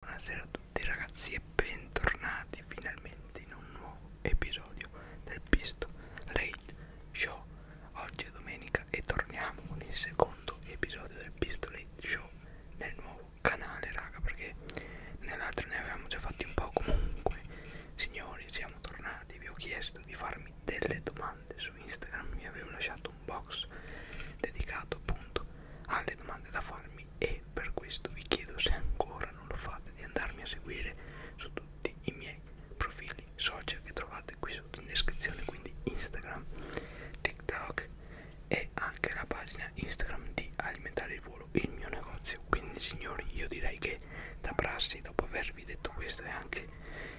Buonasera a tutti ragazzi e bentornati finalmente in un nuovo episodio del Pisto Late Show. Oggi è domenica e torniamo con il secondo episodio del Pisto Late Show nel nuovo canale raga perché nell'altro ne avevamo già fatti un po' comunque. Signori siamo tornati, vi ho chiesto di farmi delle domande domande su Instagram vi avevo lasciato un box dedicato appunto alle domande da farmi e per questo vi chiedo se ancora non lo fate di andarmi a seguire su tutti i miei profili social che trovate qui sotto in descrizione quindi Instagram, TikTok e anche la pagina Instagram di Alimentare il Volo, il mio negozio. Quindi signori, io direi che da prassi, dopo avervi detto questo e anche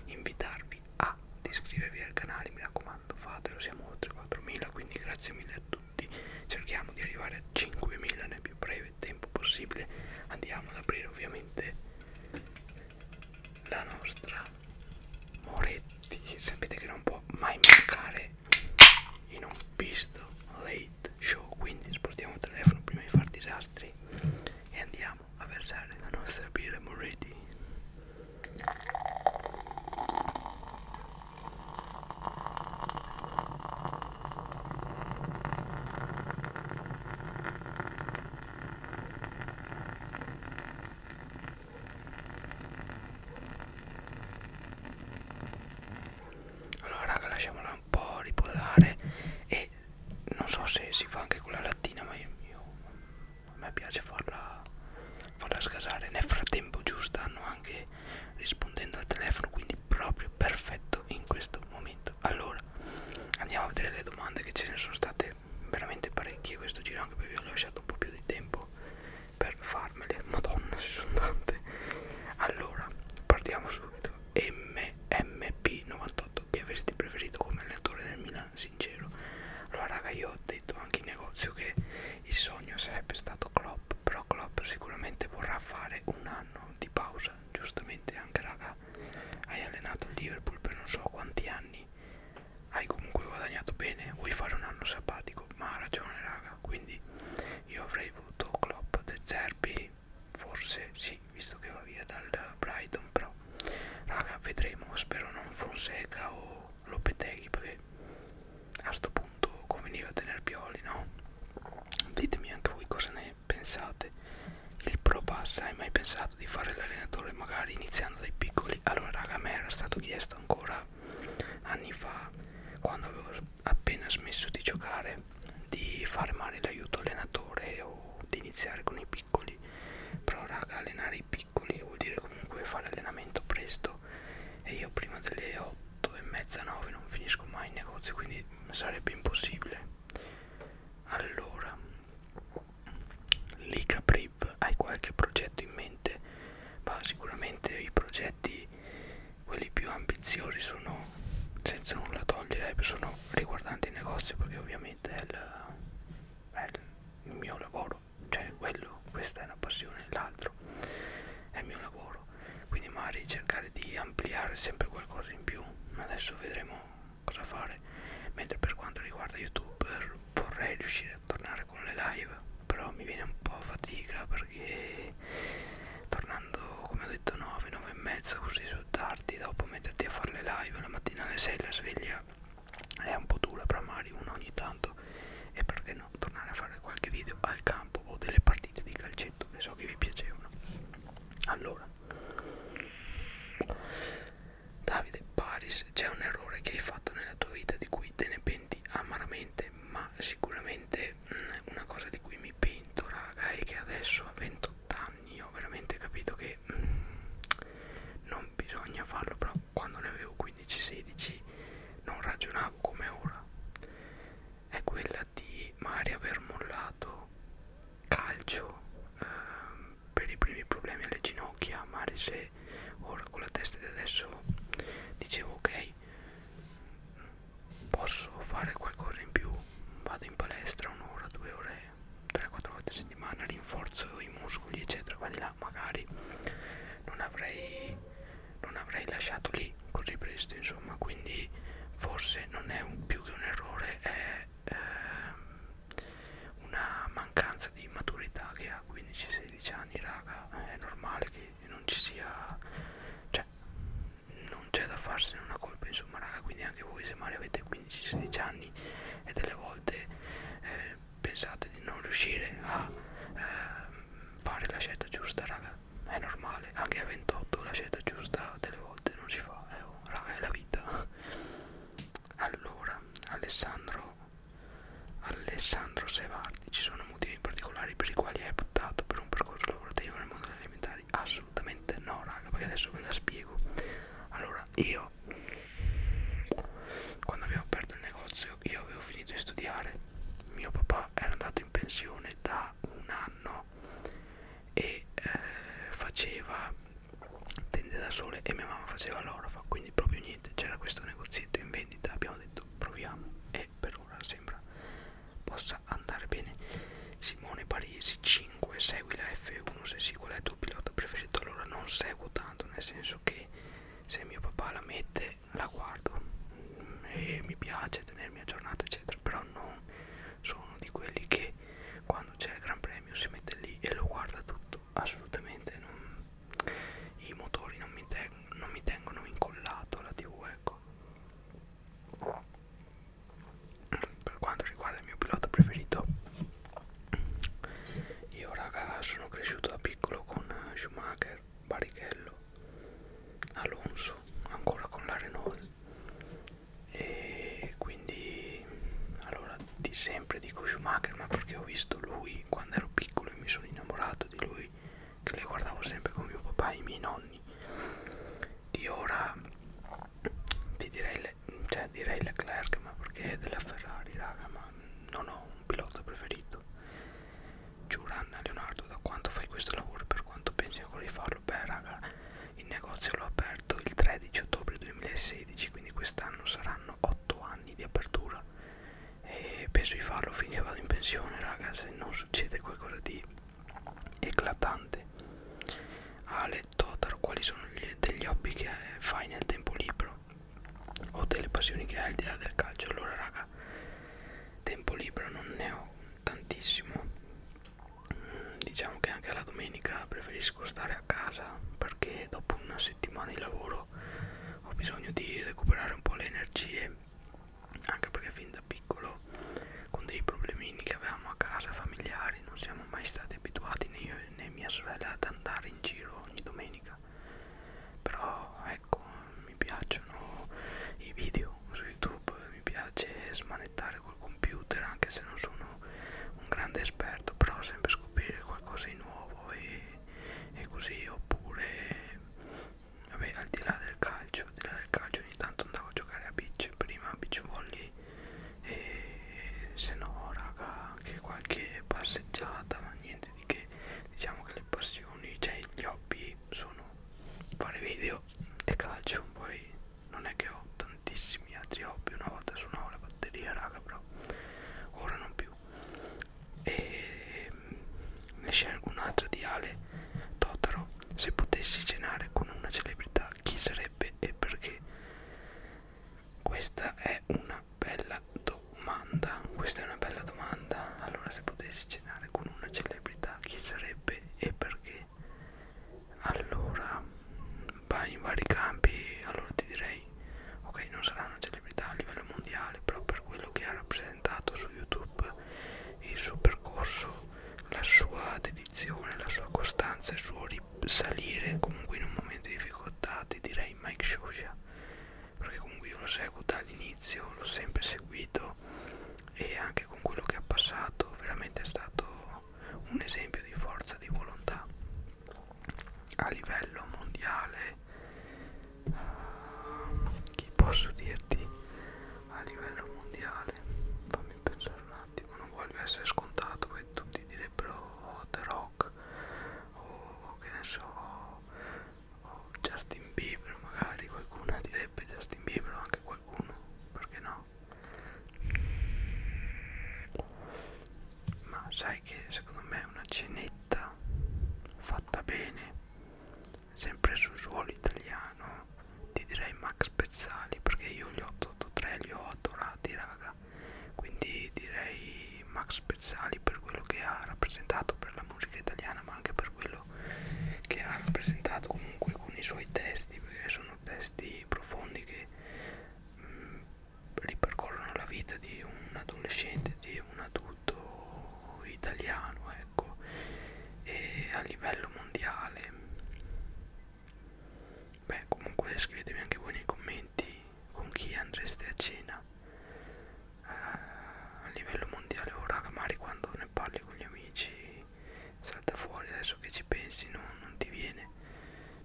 invitarvi ad iscrivervi al canale mi raccomando fatelo siamo oltre 4.000 quindi grazie mille a tutti cerchiamo di arrivare a 5.000 nel più breve tempo possibile andiamo ad aprire ovviamente la nostra Moretti sapete che non può mai mancare in un pisto late show quindi sportiamo il telefono prima di far disastri e andiamo a versare la nostra birra Moretti allora raga lasciamola un po' riposare e non so se si fa anche con la lattina ma io, io a me piace farla, farla scasare nel frattempo giù stanno anche rispondendo al telefono quindi proprio perfetto in questo momento allora andiamo a vedere le domande che ce ne sono state veramente parecchie questo giro anche perché vi ho lasciato un po' più di tempo per farmele madonna ci sono tante allora partiamo subito mmp98 che avresti preferito come allenatore del Milan sì sincero allora raga io ho detto anche in negozio che il sogno sarebbe stato Klopp però Klopp sicuramente vorrà fare un anno di pausa giustamente anche raga hai allenato il Liverpool per non so quanti anni hai comunque guadagnato bene vuoi fare un anno sabbatico ma ha ragione raga quindi io avrei voluto Klopp De Zerbi forse sì visto che va via dal Brighton però raga vedremo spero non Fonseca o Lopeteghi perché a sto punto conveniva tenere Pioli no? ditemi anche voi cosa ne pensate il Pro Pass hai mai pensato di fare l'allenatore magari iniziando dai piccoli allora raga a me era stato chiesto ancora anni fa quando avevo appena smesso di giocare di fare male l'aiuto allenatore o di iniziare con i piccoli però raga allenare i piccoli vuol dire comunque fare allenamento presto e io prima delle 8 e mezza 9 non finisco mai in negozio quindi sarebbe impossibile allora Lica Prip hai qualche progetto in mente? ma sicuramente i progetti quelli più ambiziosi sono senza nulla togliere eh, sono riguardanti il negozio perché ovviamente è il, è il il mio lavoro cioè quello questa è una passione l'altro è il mio lavoro quindi magari cercare di ampliare sempre qualcosa in più adesso vedremo cosa fare mentre per quanto riguarda youtube vorrei riuscire a tornare con le live però mi viene un po' fatica perché tornando come ho detto 9 9 e mezza così sono tardi dopo metterti a fare le live la mattina alle 6 la sveglia è un po' dura però magari uno ogni tanto e perché no tornare a fare qualche video al campo o delle partite di calcetto che so che vi piacevano allora Davide Paris c'è un errore che hai fatto nella tua vita di cui te ne penti amaramente ma sicuramente mh, mm, una cosa di cui mi pento raga è che adesso a 28 anni ho veramente capito che mh, mm, non bisogna farlo però quando ne avevo 15-16 non ragionavo come ora è quella di magari aver mollato calcio eh, per i primi problemi alle ginocchia magari se ora con la testa di adesso dicevo ok posso fare qualcosa in più vado in palestra un'ora due ore 3-4 volte a settimana rinforzo i muscoli eccetera qua di là magari non avrei non avrei lasciato lì così presto insomma quindi forse non è un, più che un errore è eh, una mancanza di maturità che a 15-16 anni raga è normale che non ci sia cioè non c'è da farsene una colpa insomma raga quindi anche voi se magari avete 15-16 anni e delle volte eh, pensate di non riuscire a eh, fare la scelta giusta raga è normale anche a 28 la scelta giusta delle volte non si fa eh, oh, raga è la vita allora Alessandro Alessandro Sevardi ci sono motivi particolari per i quali hai optato per un percorso lavorativo nel mondo degli alimentari assolutamente no raga perché adesso ve la spiego allora io io quando abbiamo aperto il negozio io avevo finito di studiare mio papà era andato in pensione da un anno e eh, faceva tende da sole e mia mamma faceva l'orofa quindi proprio niente c'era questo negozietto in vendita abbiamo detto proviamo e per ora sembra possa andare bene Simone Parisi 5 segui la F1 se segui il tuo pilota preferito allora non seguo tanto nel senso che se mio papà la mette la guardo e mi piace tenermi aggiornato eccetera però non sono di quelli che quando c'è il gran premio si mette lì e lo guarda tutto assolutamente non, i motori non mi, non mi tengono incollato alla tv ecco per quanto riguarda il mio pilota preferito io raga sono cresciuto da piccolo con Schumacher, Barrichello, Alonso, ancora con la Renault e quindi allora di sempre dico Schumacher ma perché ho visto lui quando ero piccolo e mi sono innamorato di lui che le guardavo sempre con mio papà e i miei nonni di ora ti direi le, cioè direi Leclerc ma perché è della Ferrari raga ma non ho un pilota preferito Giuranna Leonardo da quanto fai questo lavoro per quanto pensi ancora di farlo beh raga il negozio l'ho aperto il 13 ottobre 2016 quindi quest'anno saranno 8 anni di apertura e penso di farlo finché vado in pensione raga se non succede qualcosa di eclatante Ale Totaro quali sono gli, degli hobby che fai nel tempo libero lavoro o delle passioni che hai al di là del calcio allora raga tempo libero non ne ho tantissimo mm, diciamo che anche la domenica preferisco stare a casa perché dopo una settimana di lavoro ho bisogno di recuperare un po' le energie anche perché fin da piccolo con dei problemini che avevamo a casa familiari non siamo mai stati abituati né io né mia sorella ad andare in giro ogni domenica domenica però ecco mi piacciono i video su youtube mi piace smanettare col computer anche se non sono un grande esperto però sempre scoprire qualcosa di nuovo e, e così oppure vabbè al di là del calcio al di là del calcio ogni tanto andavo a giocare a beach prima a beach volley e se no raga anche qualche passeggiata ma niente di che diciamo che le passioni cioè gli hobby sono fare video e calcio poi non è che ho tantissimi altri hobby una volta suonavo la batteria raga però ora non più e ehm, ne scelgo un'altra di Ale Totaro se potessi cenare con una celebrità chi sarebbe e perché questa è una una bella domanda questa è una bella domanda allora se potessi cenare con una celebrità chi sarebbe e perché allora vai in vari campi allora ti direi ok non sarà una celebrità a livello mondiale però per quello che ha rappresentato su youtube il suo percorso la sua dedizione la sua costanza il suo risalire comunque in un momento di difficoltà ti direi Mike Shosha perché comunque io lo seguo dall'inizio l'ho sempre seguito e anche con quello che ha passato veramente è stato un esempio di forza di volontà a livello mondiale uh, ah, che posso dirti a livello mondiale fammi pensare un attimo non voglio essere scontato e tutti direbbero oh, The Rock rock o che ne so o Justin Bieber magari qualcuno direbbe Justin Bieber o anche qualcuno perché no ma sai che secondo me una cenetta fatta bene sempre sul suolo italiano ti direi Max Pezzali perché io gli 883 li ho adorati raga carriera quindi direi Max Pezzali per quello che ha rappresentato per la musica italiana ma anche per quello che ha rappresentato comunque con i suoi testi perché sono testi profondi che mh, mm, ripercorrono la vita di un adolescente di un adulto italiano ecco e a livello mondiale beh comunque scrivetemi anche voi nei commenti con chi andreste a cena eh, a livello mondiale ora magari quando ne parli con gli amici salta fuori adesso che ci pensi non, non ti viene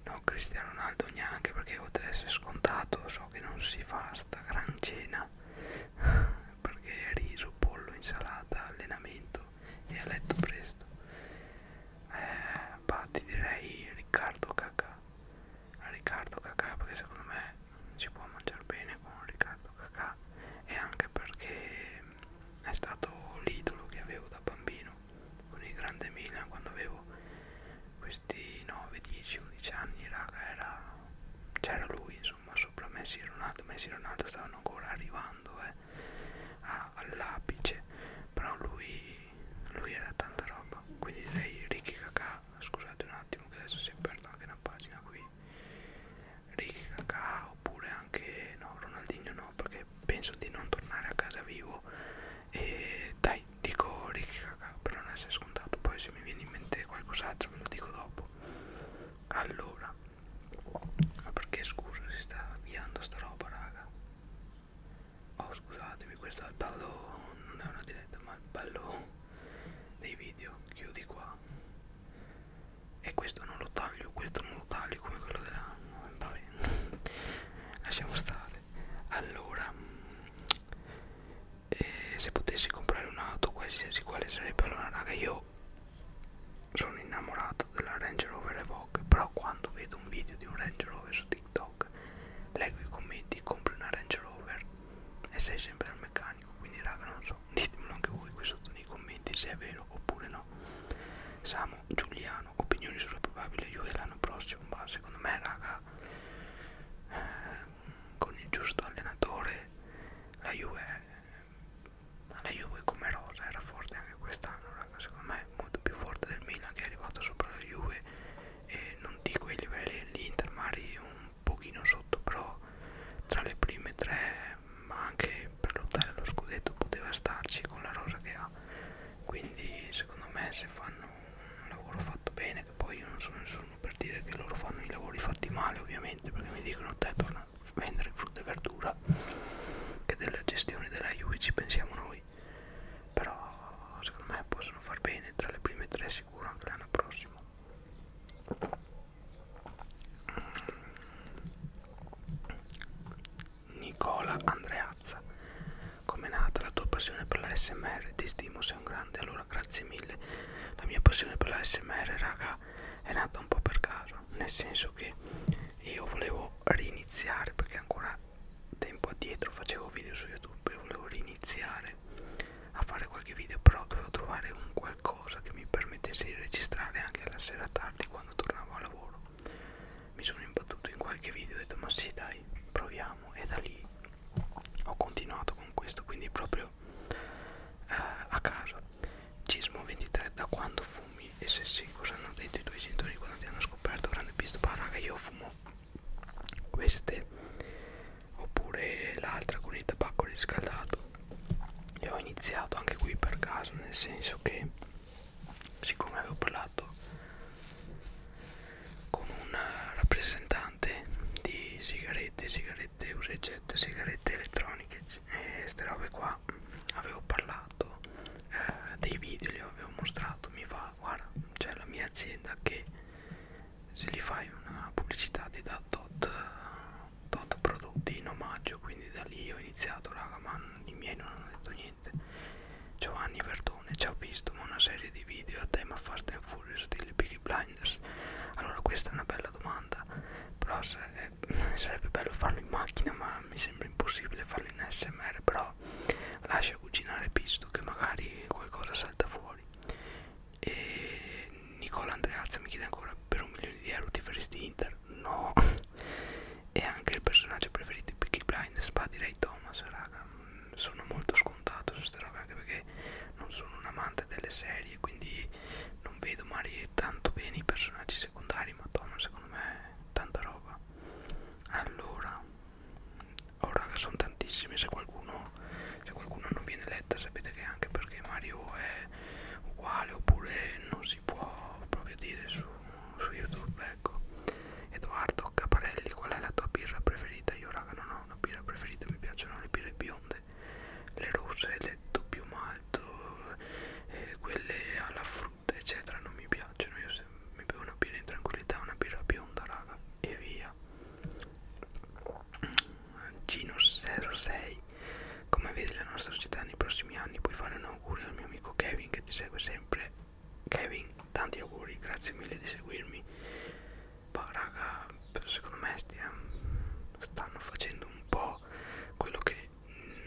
no Cristiano Ronaldo neanche perché oltre ad essere scontato so che non si fa sta gran cena perché riso, pollo, insalata, allenamento e a letto presto eh, bah, ti direi Riccardo Cacà a Riccardo Cacà perché secondo me si può mangiare bene con Riccardo Cacà e anche perché è stato l'idolo che avevo da bambino con il grande Milan quando avevo questi 9, 10, 11 anni raga era c'era lui insomma sopra Messi e Ronaldo Messi e Ronaldo stavano ancora arrivando eh, all'apice però lui lui era tanta roba quindi direi Ricky Kakà scusate un attimo che adesso si è persa anche una pagina qui Ricky Kakà oppure anche no Ronaldinho no perché penso di non tornare a casa vivo e dai dico Ricky Kakà per non essere scontato poi se mi viene in mente qualcos'altro ve lo dico dopo allora ma perché scusa si sta avviando sta roba raga oh scusatemi questo è il ballo non è una diretta ma il ballo dei video chiudi qua e questo non lo taglio questo non lo taglio come quello della vabbè lasciamo stare allora eh, se potessi comprare un'auto qualsiasi quale sarebbe allora raga io sono innamorato della Range Rover Evoque però quando vedo un video di un Range Rover su su TikTok, leggo i commenti, compri una Range Rover e sei sempre al meccanico. Quindi, raga, non so, ditemelo anche voi qui sotto nei commenti se è vero oppure no. Samu, Giuliano, opinioni sulla probabile Juve l'anno prossimo. Ma secondo me, raga, eh, con il giusto allenatore, la Juve, la Juve come rosa era forte anche quest'anno, raga. Secondo me, molto più forte del Milan che è arrivato sopra la Juve eh, non dico i livelli dell'Inter magari un pochino sotto però tra le prime tre ma anche per lottare allo scudetto poteva starci con la rosa che ha quindi secondo me se fanno un lavoro fatto bene che poi io non sono nessuno per dire che loro fanno i lavori fatti male ovviamente perché mi dicono te torna a vendere frutta e verdura che della gestione della Juve ci pensiamo noi voi però secondo me possono far bene tra le prime tre sicuro anche l'anno prossimo mm. Nicola Andreazza come è nata la tua passione per la SMR ti stimo sei un grande allora grazie mille la mia passione per la SMR raga è nata un po' per caso nel senso che io volevo riniziare perché ancora tempo addietro facevo video su youtube e volevo riniziare a fare qualche video però dovevo trovare un qualcosa che mi permettesse di registrare anche la sera tardi quando tornavo a lavoro mi sono imbattuto in qualche video e ho detto ma sì dai proviamo e da lì ho continuato con questo quindi proprio eh, a caso Cismo 23 da quando fumi e se sì cosa hanno detto i tuoi genitori quando ti hanno scoperto avranno visto bah raga io fumo queste oppure l'altra con il tabacco riscaldato e ho iniziato anche qui per caso nel senso che siccome avevo parlato con un rappresentante di sigarette sigarette usa e getta sigarette elettroniche e eh, queste robe qua avevo parlato eh, dei video li avevo mostrato mi fa guarda c'è la mia azienda che se gli fai una pubblicità ti dà tot, tot prodotti in omaggio quindi da lì ho iniziato raga ma i miei non hanno detto niente Giovanni Verdone ci ho visto ma una serie di video a tema Fast and Furious stile Peaky Blinders allora questa è una bella domanda però se, eh, sarebbe bello farlo in macchina ma mi sembra impossibile farlo in smr però so lascia cucinare pisto che magari qualcosa salta fuori e Nicola Andreazza mi chiede ancora per un milione di euro ti faresti Inter? no e anche il personaggio preferito di Peaky Blinders ma direi Thomas raga mm, sono molto scontato su queste robe anche perché non sono un amante delle serie quindi non vedo magari tanto bene i personaggi secondari ma Thomas secondo me è tanta roba allora oh raga sono tantissime se qualcuno se qualcuno non viene letta sapete che anche perché Mario è uguale oppure non si può proprio dire su, su YouTube ecco Edoardo Caparelli qual è la tua birra preferita? Io raga non ho una birra preferita mi piacciono le birre bionde le rosse, le doppio malto eh, quelle alla frutta eccetera non mi piacciono io mi bevo una birra in tranquillità, una birra bionda raga e via Ginus 06 come vedi la nostra società nei prossimi anni puoi fare un augurio al mio amico Kevin che ti segue sempre Kevin tanti auguri grazie mille di seguirmi ma raga secondo me stia, stanno facendo un po' quello che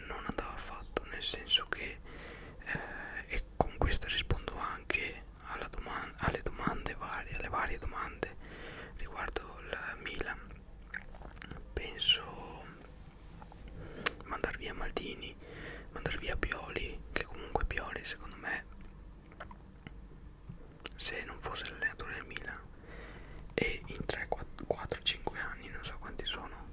non andava fatto nel senso che eh, è e con questa rispondo anche alla domanda, alle domande varie, alle varie domande riguardo la Milan. Penso mandar via Maldini, mandar via Pioli, che comunque Pioli secondo me se non fosse l'allenatore del Milan e in 3-4-5 anni, non so quanti sono,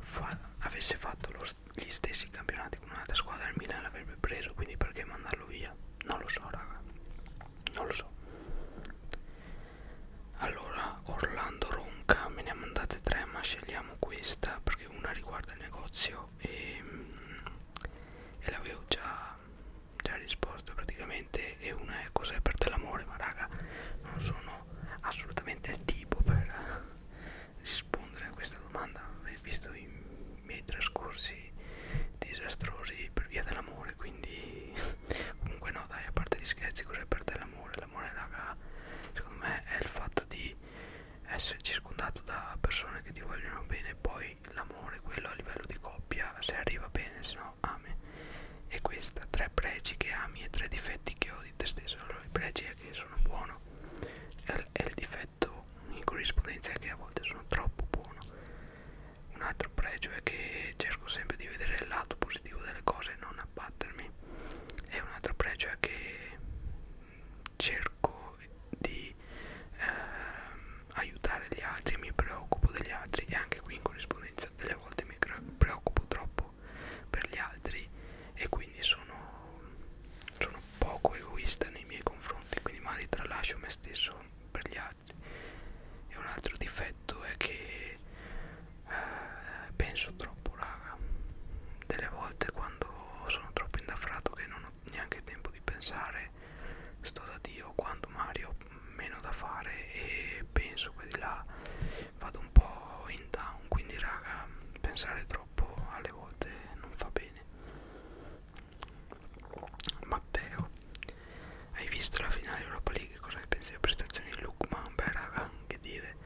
fa avesse fatto lo gli stessi campionati con un'altra squadra il Milan l'avrebbe preso quindi perché mandarlo via non lo so raga non lo so allora Orlando Ronca me ne ha mandate tre ma scegliamo questa perché una riguarda il negozio e, mm, e l'avevo già, già risposto praticamente e una è cos'è per te l'amore ma raga non sono assolutamente il tipo per rispondere a questa domanda visto i miei trascorsi disastrosi per via dell'amore quindi comunque no dai a parte gli scherzi cos'è per te l'amore l'amore raga secondo me è il fatto di essere circondato da persone che ti vogliono bene poi l'amore quello a livello di coppia se arriva bene se no ami e questa tre pregi che ami e tre difetti che ho di te stesso allora il pregi è che sono buono Intel è il difetto in corrispondenza che a volte sono troppo buono un altro pregio è che cerco sempre di vedere il lato positivo delle cose e non abbattermi e un altro pregio è che cerco di ehm, aiutare gli altri mi preoccupo degli altri e anche qui in corrispondenza delle volte mi preoccupo troppo per gli altri e quindi sono, sono poco egoista nei miei confronti quindi magari tralascio me stesso per gli altri e un altro difetto è che eh, penso troppo raga delle volte quando sono troppo indaffrato che non ho neanche tempo di pensare sto da dio quando magari ho meno da fare e penso che di là vado un po' in down quindi raga pensare troppo alle volte non fa bene Matteo Hai visto la finale Europa League? Cosa ne pensi delle prestazioni di Lukman? Beh raga, che dire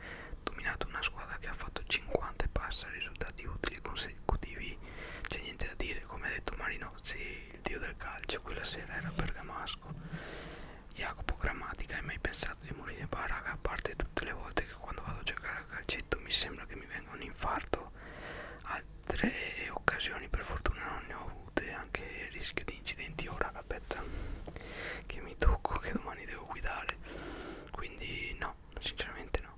Dominato una squadra che ha fatto 50 e passa risultati utili consecutivi C'è niente da dire, come ha detto Marinozzi Il dio del calcio quella sera era Bergamasco Jacopo Grammatica, hai mai pensato di morire? Bah raga, a parte tutte le volte che quando vado a giocare a calcetto mi sembra che mi venga un infarto fatto altre occasioni per fortuna non ne ho avute anche il rischio di incidenti ora aspetta che mi tocco che domani devo guidare quindi no sinceramente no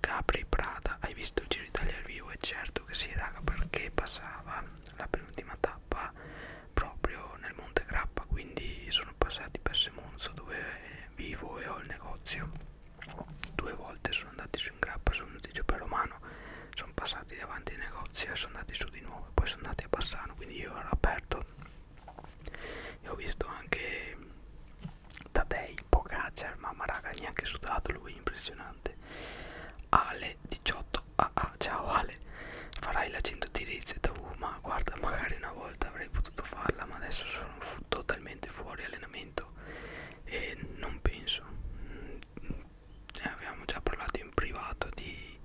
Capri Prada hai visto il Giro Italia al vivo? E certo che sì raga perché passava la penultima tappa proprio nel Monte Grappa quindi sono passati per Semonzo dove vivo e ho il negozio Due volte sono andati su in grappa sul noticio per Romano, sono passati davanti ai negozi e sono andati su di nuovo e poi sono andati a Bassano, quindi io ero aperto e ho visto anche Tadei, Pogacar, mamma raga, neanche sudato lui, impressionante. Ale 18, ah, ah ciao Ale, farai la 100 tiri ZV, ma guarda magari una volta avrei potuto farla, ma adesso sono totalmente probabilmente fuori allenamento e non penso ne mm, eh, avevamo già parlato in privato di,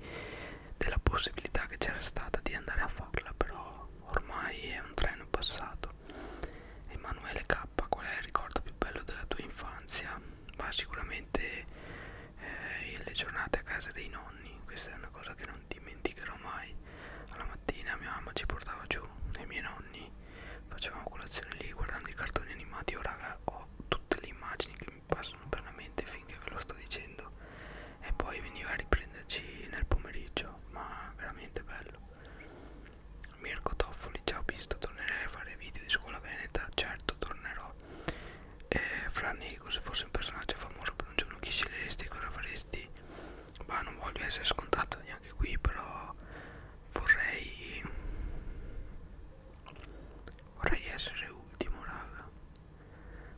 della possibilità che c'era stata di andare a farla però ormai è un treno passato Emanuele K qual è il ricordo più bello della tua infanzia? ma sicuramente eh, le giornate a casa dei nonni questa è una cosa che non dimenticherò mai sai alla mattina mia mamma ci portava giù dai miei nonni facevamo colazione lì guardando i cartoni animati ora raga ho tutte le immagini che mi passano per la mente finché ve lo sto dicendo e poi veniva a riprenderci nel pomeriggio ma veramente bello Mirko Toffoli ciao visto tornerei a fare video di scuola veneta certo tornerò e fra Nico se fossi un personaggio famoso per un giorno chi sceglieresti cosa faresti ma non voglio essere scontato dettagli anche qui però vorrei vorrei essere ultimo raga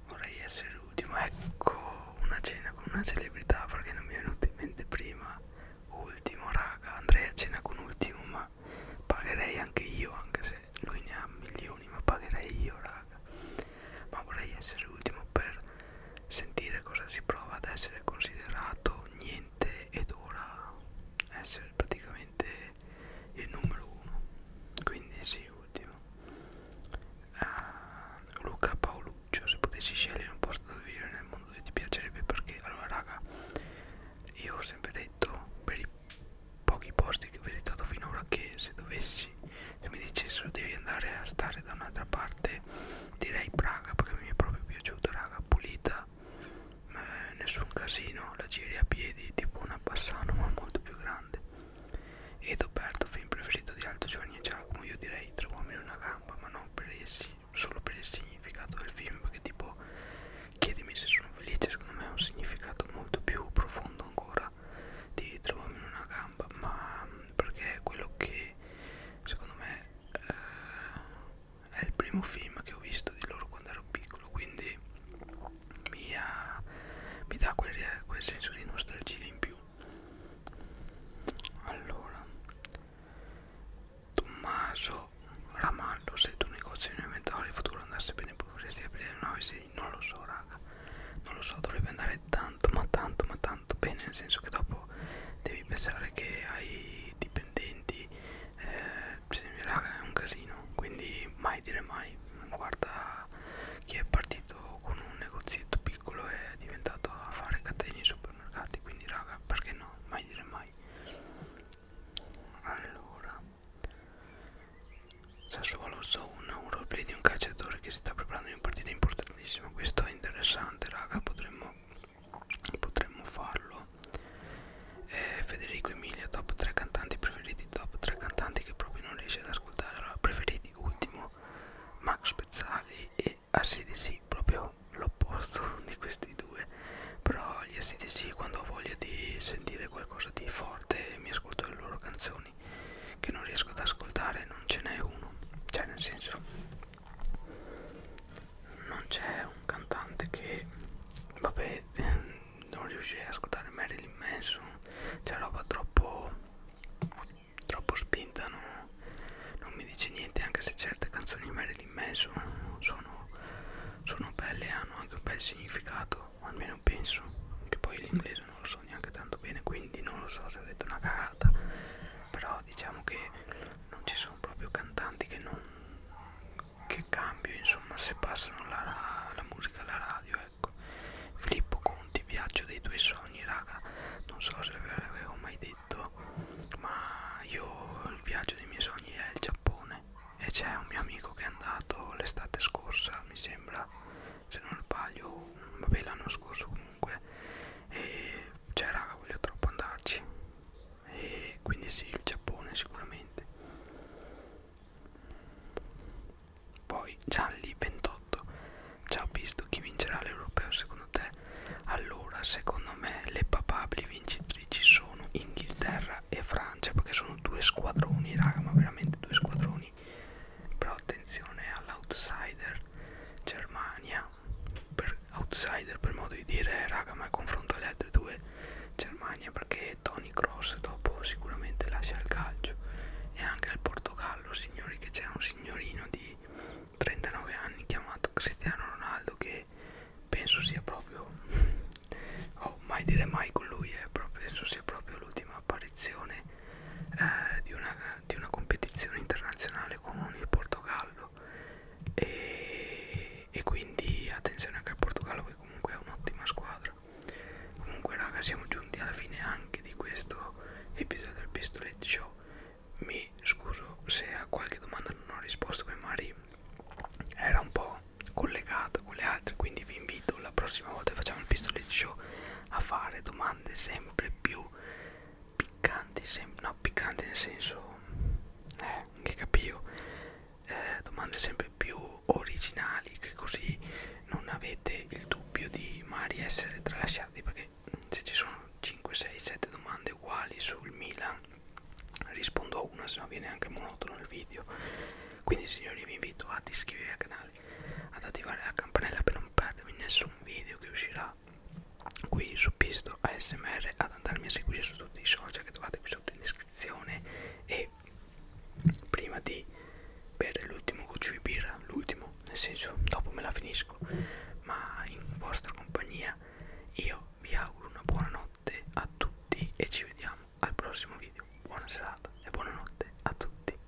vorrei essere ultimo ecco una cena con una celebrità perché non mi è venuto in mente prima ultimo raga andrei a cena con ultimo ma pagherei anche io anche se lui ne ha milioni ma pagherei io raga ma vorrei essere ultimo per sentire cosa si prova ad essere considerato niente ed ora essere praticamente il numero uno quindi sì ultimo uh, Luca Paoluccio se potessi scegliere un posto dove vivere nel mondo ti piacerebbe perché allora raga io ho sempre detto per i pochi posti che ho visitato finora che se dovessi se mi dicessero devi andare a stare da un'altra parte veramente direi Praga perché mi è proprio piaciuta raga pulita eh, nessun casino la giri a piedi tipo una Bassano ma molto più grande e Doberto film preferito di Aldo Giovanni e Giacomo io direi Tre uomini e una gamba ma non per il, solo per il significato del film perché tipo chiedimi se sono felice secondo me ha un significato molto più profondo ancora di Tre uomini e una gamba ma mm, perché è quello che secondo me eh, è il primo film che ho visto di loro quando ero piccolo quindi mi, ha, mi dà quel, quel senso di nostalgia in più allora Tommaso Ramallo se il tuo negozio in inventario il futuro andasse bene potresti aprire una no, sì, non lo so raga non lo so dovrebbe andare tanto ma tanto ma tanto tanto bene nel senso che dopo devi pensare che hai dipendenti eh, se mi raga è un casino quindi mai dire mai guarda chi è partito con un negozietto piccolo e è diventato a fare catene in supermercati quindi raga perché no mai dire mai allora Sassuolo Zone un roleplay di un calciatore che si sta preparando in una partita importantissima questo è interessante raga potremmo potremmo farlo eh, Federico Emilia top 3 cantanti preferiti top 3 cantanti che proprio non riesce ad ascoltare allora preferiti ultimo Max Pezzali e ACDC proprio l'opposto di questi due però gli ACDC quando ho voglia di sentire qualcosa di forte mi ascolto le loro canzoni che non riesco ad ascoltare non ce n'è uno cioè nel senso non c'è un cantante che vabbè non riuscirei a ascoltare Marilyn Manson c'è roba troppo troppo spinta no? non mi dice niente anche se certe canzoni di Marilyn Manson sono, sono belle e hanno anche un bel significato almeno penso che poi l'inglese non lo so neanche tanto bene quindi non lo so se ho detto una cagata serata però diciamo che non ci sono proprio cantanti che non che cambio insomma se passano la, la musica alla radio ecco Filippo Conti viaggio dei tuoi sogni raga non so se ve l'avevo mai detto ma io il viaggio dei miei sogni è il Giappone e c'è un mio amico che è andato l'estate scorsa mi sembra se non sbaglio vabbè l'anno scorso comunque e cioè raga voglio troppo andarci e quindi sì il Giappone sicuramente poi gialli 28 ciao visto chi vincerà l'europeo secondo te allora secondo me le papabili vincitrici sono Inghilterra e Francia perché sono due squadroni raga ma veramente due squadroni però attenzione all'outsider Germania Germania per outsider per modo di dire raga ma confronto alle altre due Germania perché Tony Cross dopo sicuramente lascia il calcio e anche al Portogallo signori che c'è un signorino di 39 anni chiamato Cristiano Ronaldo che penso sia proprio oh mai dire mai con lui eh, però penso sia proprio l'ultima apparizione eh, di, una, di una competizione internazionale con il Portogallo Portogallo e, e quindi attenzione anche al Portogallo che comunque è un'ottima squadra comunque raga siamo giunti alla fine anche di questo episodio del Pistolet Show mi scuso se a qualche domanda non ho risposto perché magari era un po' collegata con le altre quindi vi invito la prossima volta che facciamo il Pistolet Show a fare domande sempre più piccanti sempre no piccanti nel senso eh, che capivo eh, domande sempre più originali che così non avete il dubbio di mai essere tralasciati perché se ci sono 5 6 7 domande uguali sul Milan rispondo a una se no viene anche monotono il video quindi signori vi invito ad iscrivervi al canale ad attivare la campanella per non perdervi nessun video che uscirà qua qui su Pisto ASMR ad andarmi a seguire su tutti i social che trovate qui sotto in descrizione e prima di bere l'ultimo goccio di birra l'ultimo nel senso dopo me la finisco ma in vostra compagnia io vi auguro una buona notte a tutti e ci vediamo al prossimo video buona serata e buonanotte a tutti